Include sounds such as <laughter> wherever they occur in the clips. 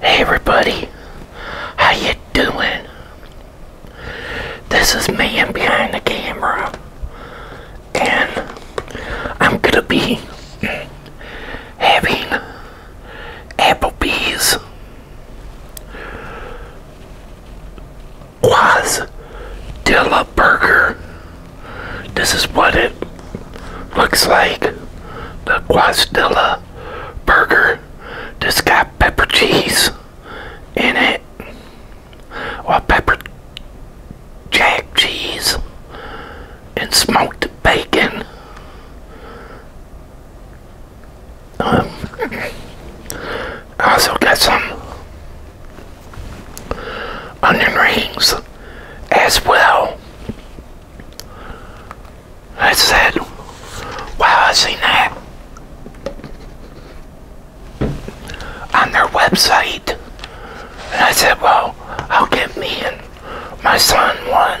Hey everybody, how you doing? This is man behind the camera, and I'm gonna be having Applebee's dilla Burger. This is what it Looks like the Quastilla burger just got pepper cheese in it. Or pepper jack cheese and smoked bacon. Um, I also got some onion rings as well. I said, wow, I seen that on their website. And I said, well, I'll get me and my son one.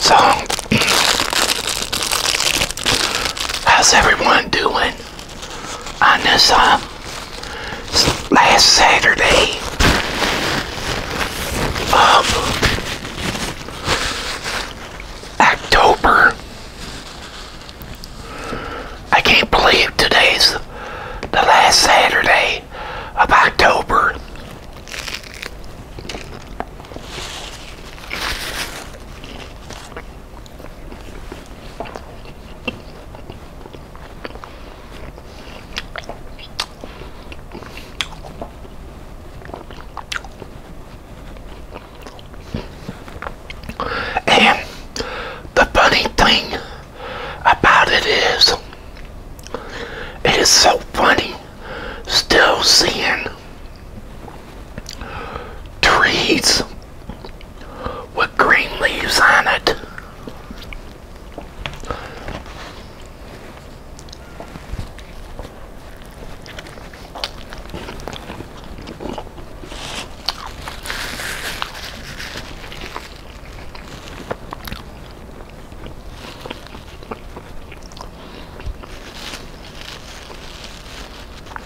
So, <clears throat> how's everyone doing? on this uh, last Saturday of October. I can't believe today's the last Saturday of October. And the funny thing about it is, it is so funny still seeing trees with green leaves on it.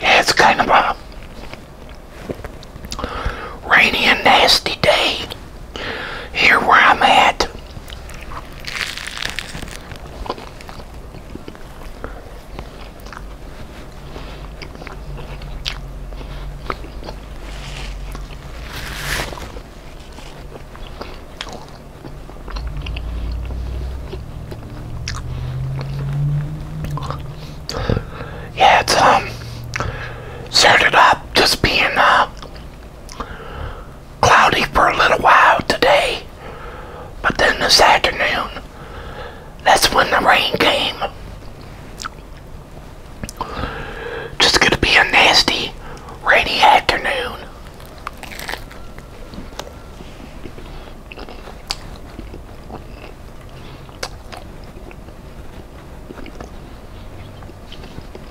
Yeah, it's kind of a rainy and nasty day here where I'm at. Yeah, it's um it up just being uh cloudy for a little while today, but then this afternoon, that's when the rain came. Just gonna be a nasty, rainy afternoon.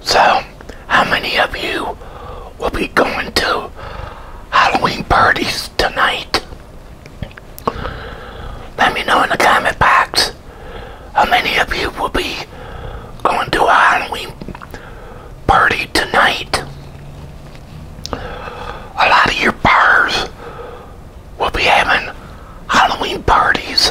So, how many of you will be going to Halloween parties tonight? Let me know in the comment box how many of you will be going to a Halloween party tonight. A lot of your bars we'll be having Halloween parties.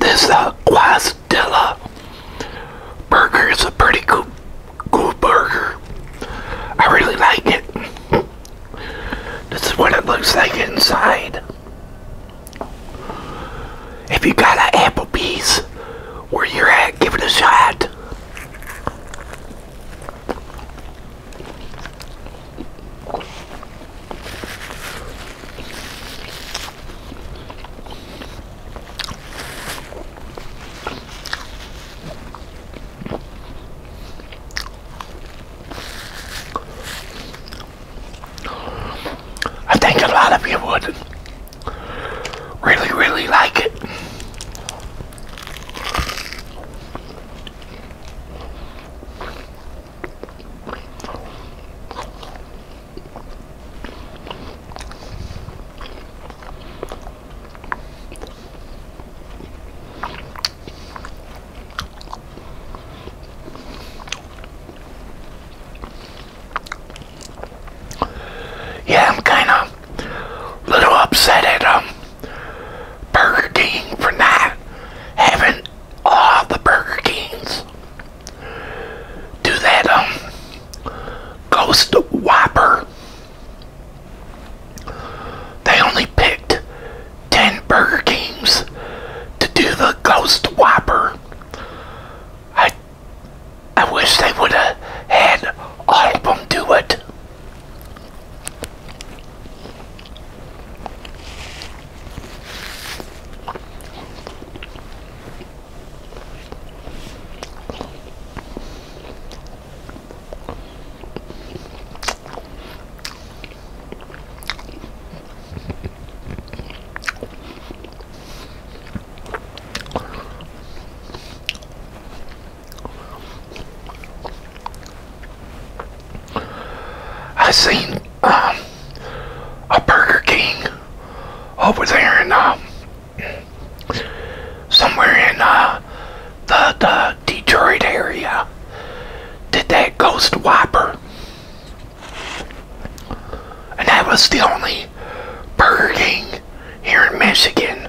This uh, Guastilla burger is a pretty good, cool burger. I really like it. This is what it looks like inside. If you got an Applebee's where you're at, give it a shot. I think a lot of you would really, really like it. Yeah, I'm kind of a little upset at um, Burger King for not having all the Burger Kings do that um, Ghost Whopper. They only picked 10 Burger Kings to do the Ghost Whopper. I, I wish they would have had all of them do it. I seen um, a Burger King over there in um, somewhere in uh, the, the Detroit area did that Ghost Whopper. And that was the only Burger King here in Michigan.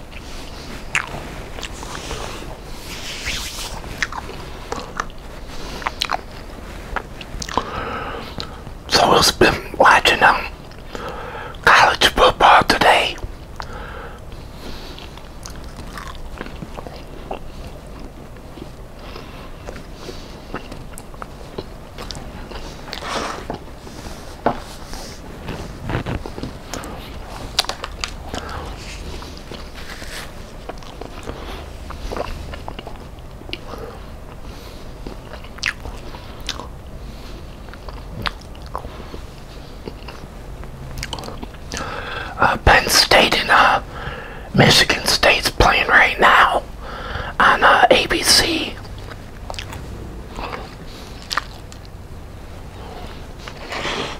So it's been watching um college football today. Uh, Penn State and uh, Michigan State's playing right now on uh, ABC.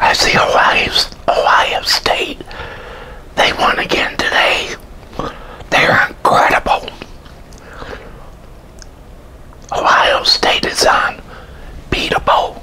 I see Ohio State. They won again today. They're incredible. Ohio State is unbeatable.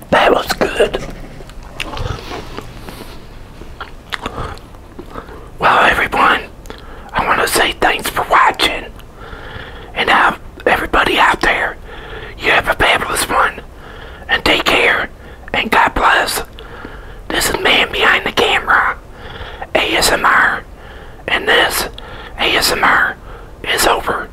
That was good. Well, everyone, I want to say thanks for watching. And have everybody out there, you have a fabulous one. And take care. And God bless. This is Man Behind the Camera, ASMR. And this ASMR is over.